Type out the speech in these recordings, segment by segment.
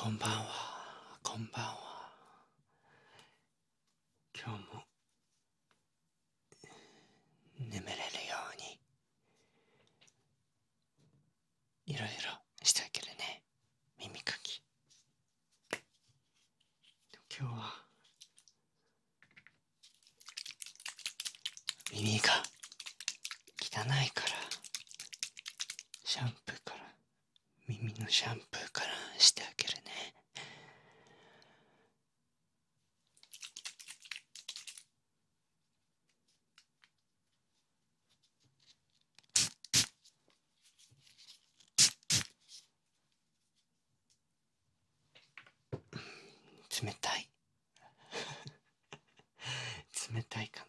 こんばんは、こんばんは。今日も眠れるようにいろいろしてあげるね耳かき今日は耳が汚いからシャンプーから耳のシャンプーからしてあげるね冷たい 冷たいかな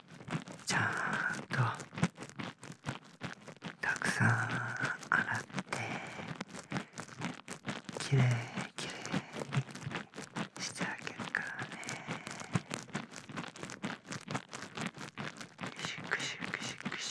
ちゃんとたくさん洗ってきれいきれいにしてあげるからねシクシクシクシ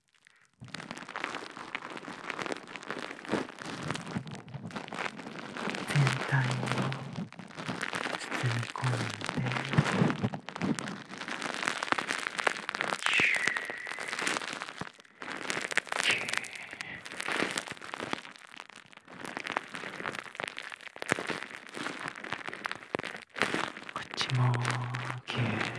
全体を包み込んでこっちもキュー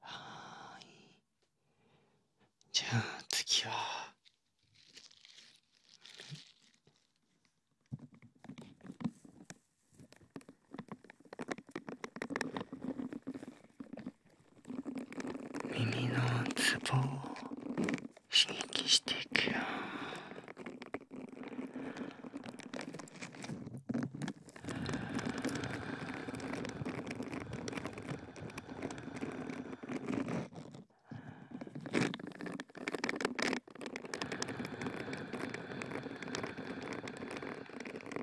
はいじゃあ次は。耳のツボを刺激していくよ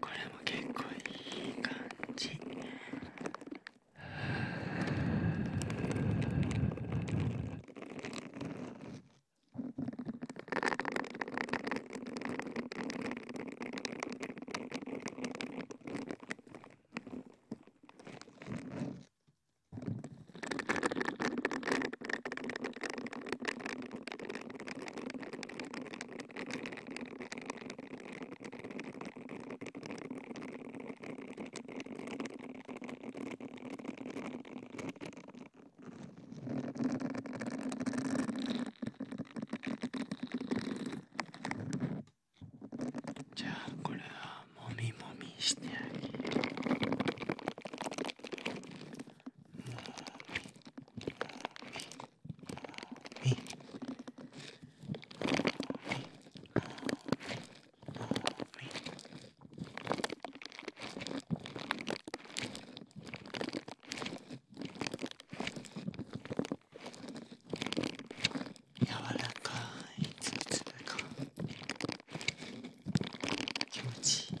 これも結構いい感じじゃあこれはもみもみしてあげる。柔らかいつぶつぶ気持ちいい。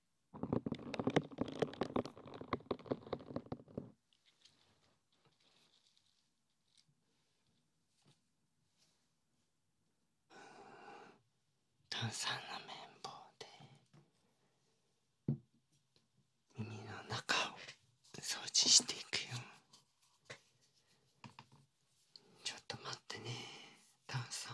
ん。炭酸の綿棒で耳の中を掃除していくよちょっと待ってね炭酸。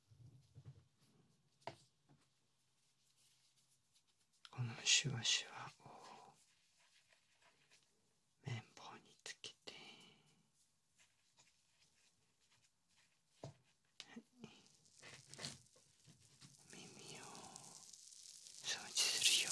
このシュワシュワを綿棒につけて、はい、耳を掃除するよ。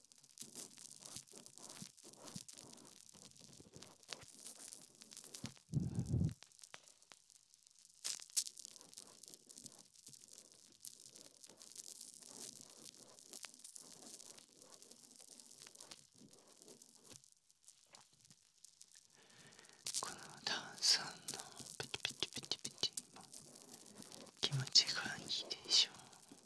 このダ炭酸のプチプチプチプチも気持ちがいいでしょう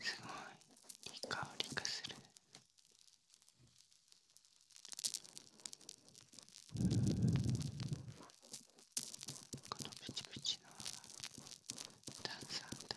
すごいいい香りがするこのプチプチの炭酸だ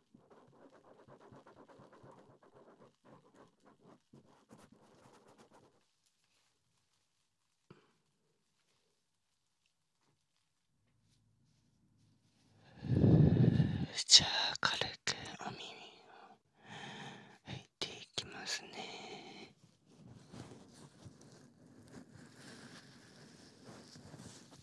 ふじゃあ軽くお耳を拭いていきますね。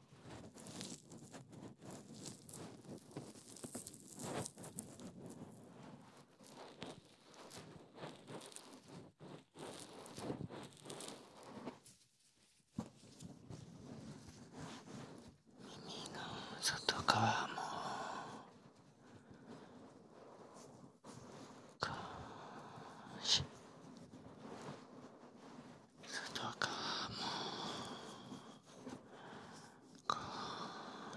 耳の外側もこし外側もこ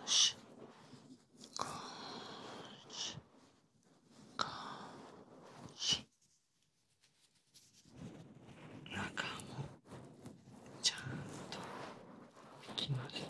しこしこし中もちゃんといきますね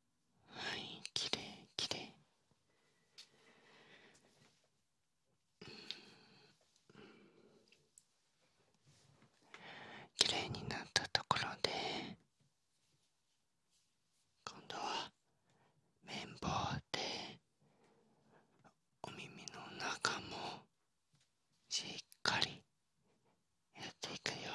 はいきれいきれいきれいになったところで今度は綿棒でお耳の中もしっかりやっていくよ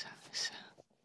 さ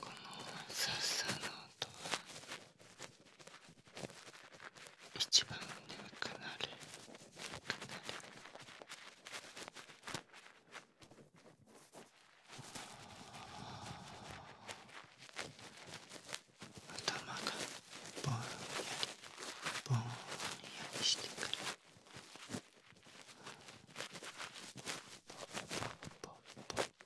このさっさの音は一番にはかなりかなり頭がぼんやりぼんやりしてくる。ポッポッポッポッ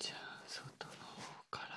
じゃあ外の方から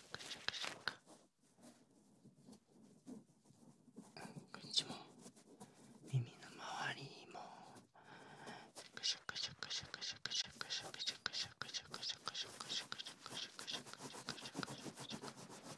こっちも耳の周りもシャクシャクシャクシャクシャクシャクシャクシャクシャクシャクシャクシャクシャクシャクシャクシャクシャクシャクシャク耳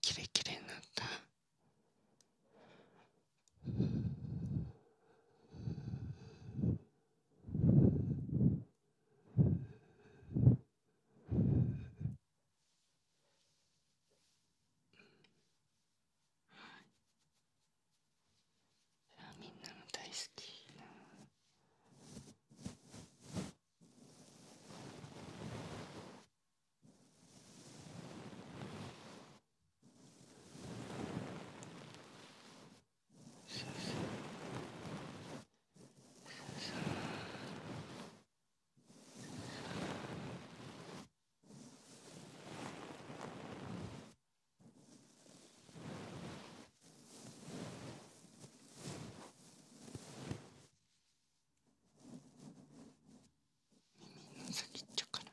キレキレになった。みんなの大好きな耳の先っちょから。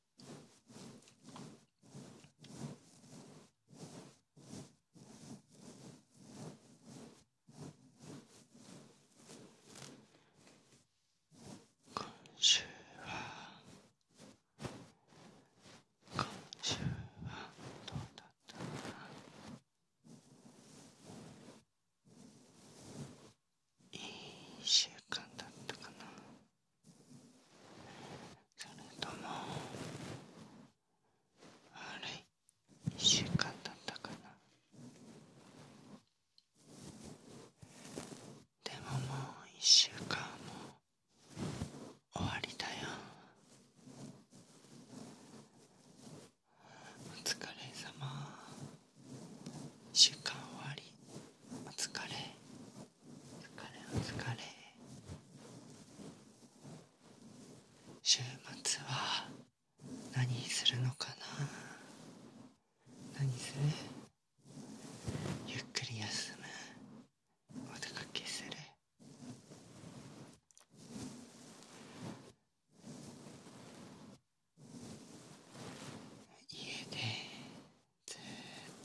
今週は今週はどうだったかないい1週間だったかなそれとも悪い1週間だったかなでももう1週間も終わりだよお疲れ様週間終わりお疲れお疲れお疲れ週末は何するのかな何するゆっくり休むお出かけする家でじーっ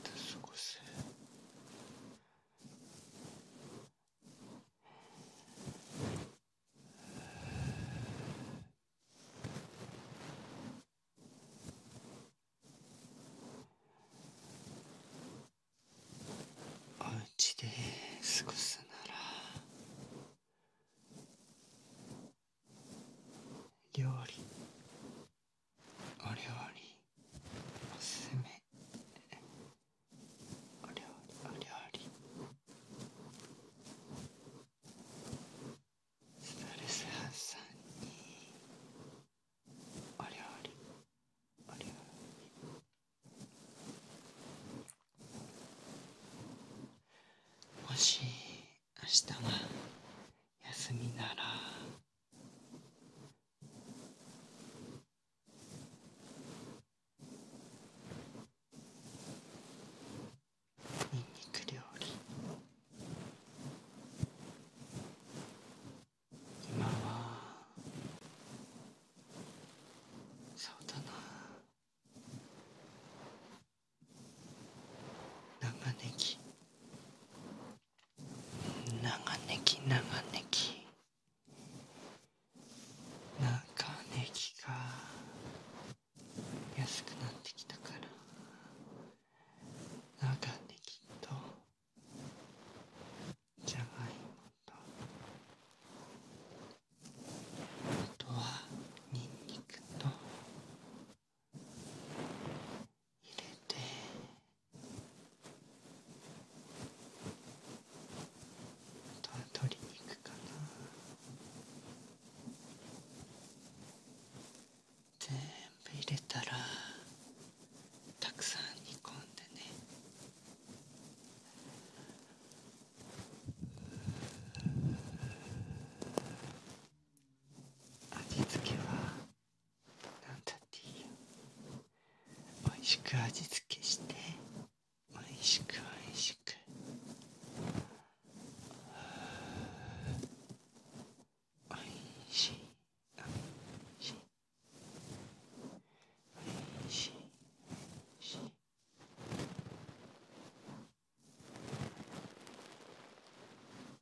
と過ごすおうちで過ごすなら料理お料理おすすめお料理お料理ストレス発散にお料理お料理もし明日は休みならにんにく料理今はそうだな長ネギ長ネギ長ネギ長ネギが安くなってきたから長ネギとじゃがいもとあとはニンニクと入れてあとは鶏肉かな全部入れたらたくさん煮込んでね味付けはなんだっていいよ美味しく味付けして美味しく美味しく美味しい美味しい美味しい美味しい美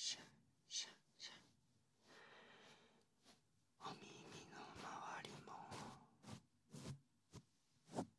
シャシャシャシャンお耳の周りも。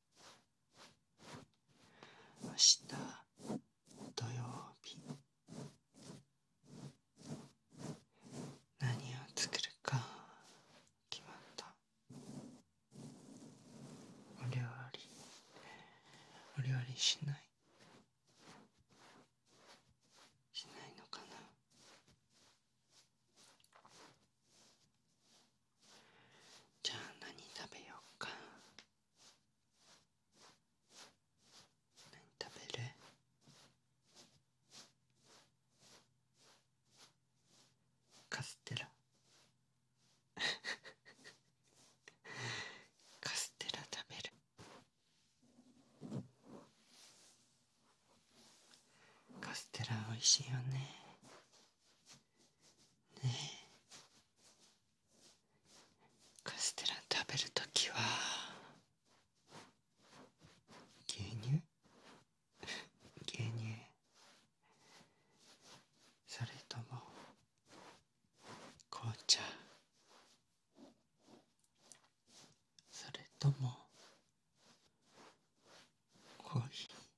明日土曜日何を作るか決まったお料理お料理しないしないのかなじゃあ何食べようか何食べるカステラ カステラ食べるカステラおいしいよねねえ。カステラ食べるときは牛乳 牛乳それとも紅茶それともコーヒー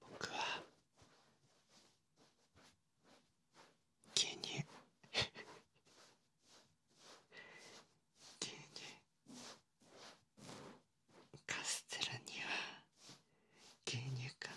僕は牛乳牛乳カステラには牛乳かな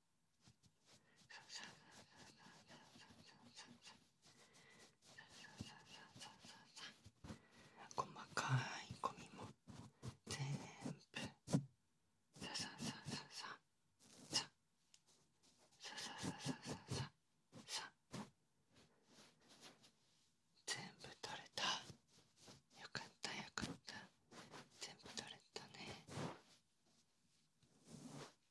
細かいゴミも全部さささささささささささ全部取れたよかったよかった全部取れたね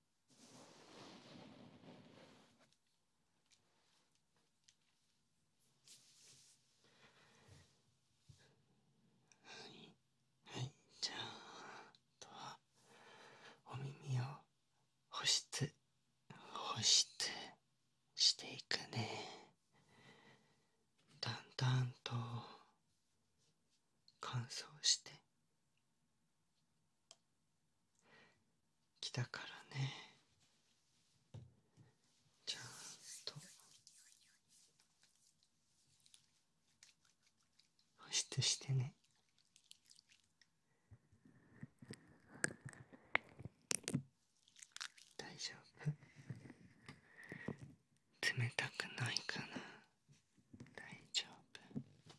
はいはいじゃああとはお耳を保湿保湿していくねだんだんと乾燥して来たからねちゃんと保湿してね大丈夫冷たくないかな大丈夫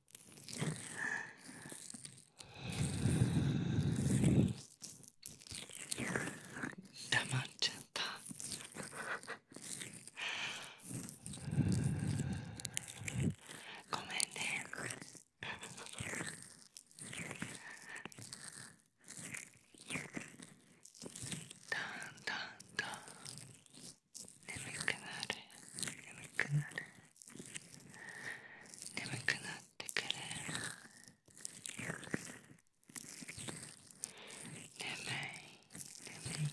黙っちゃったごめんねだんだんだん眠くなる眠くなる眠くなってくる眠い眠い眠い眠い眠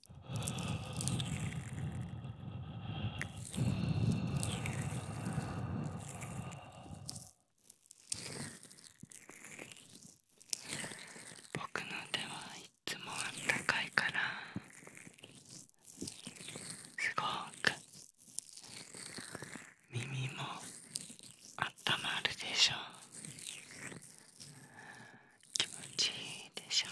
う僕の手はいつもあったかいからすごく耳もあったまるでしょう気持ちいいでしょう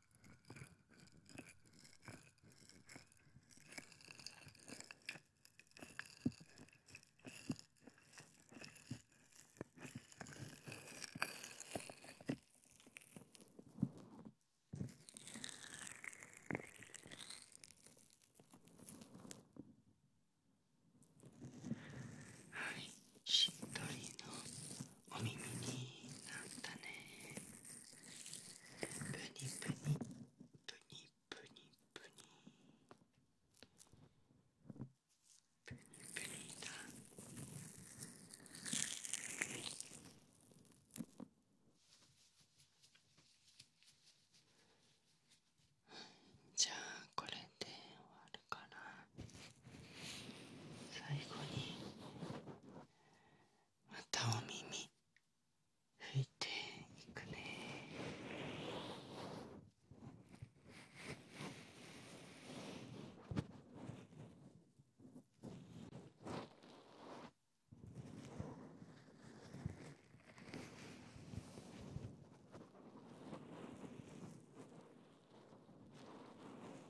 はいしっとりのお耳になったねぷにぷに。ぷにぷに。ぷにぷニプニだじゃあこれで終わるかな最後にまたお耳拭いていくね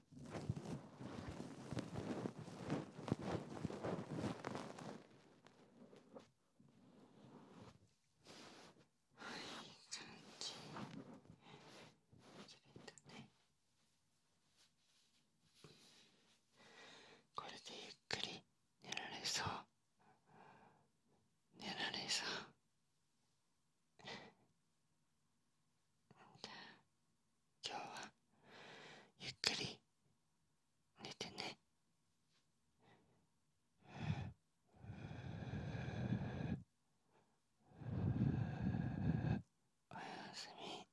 い、い感ねこれでゆっくり寝られそう寝られそうじゃあ今日はゆっくり寝てね。おやすみ。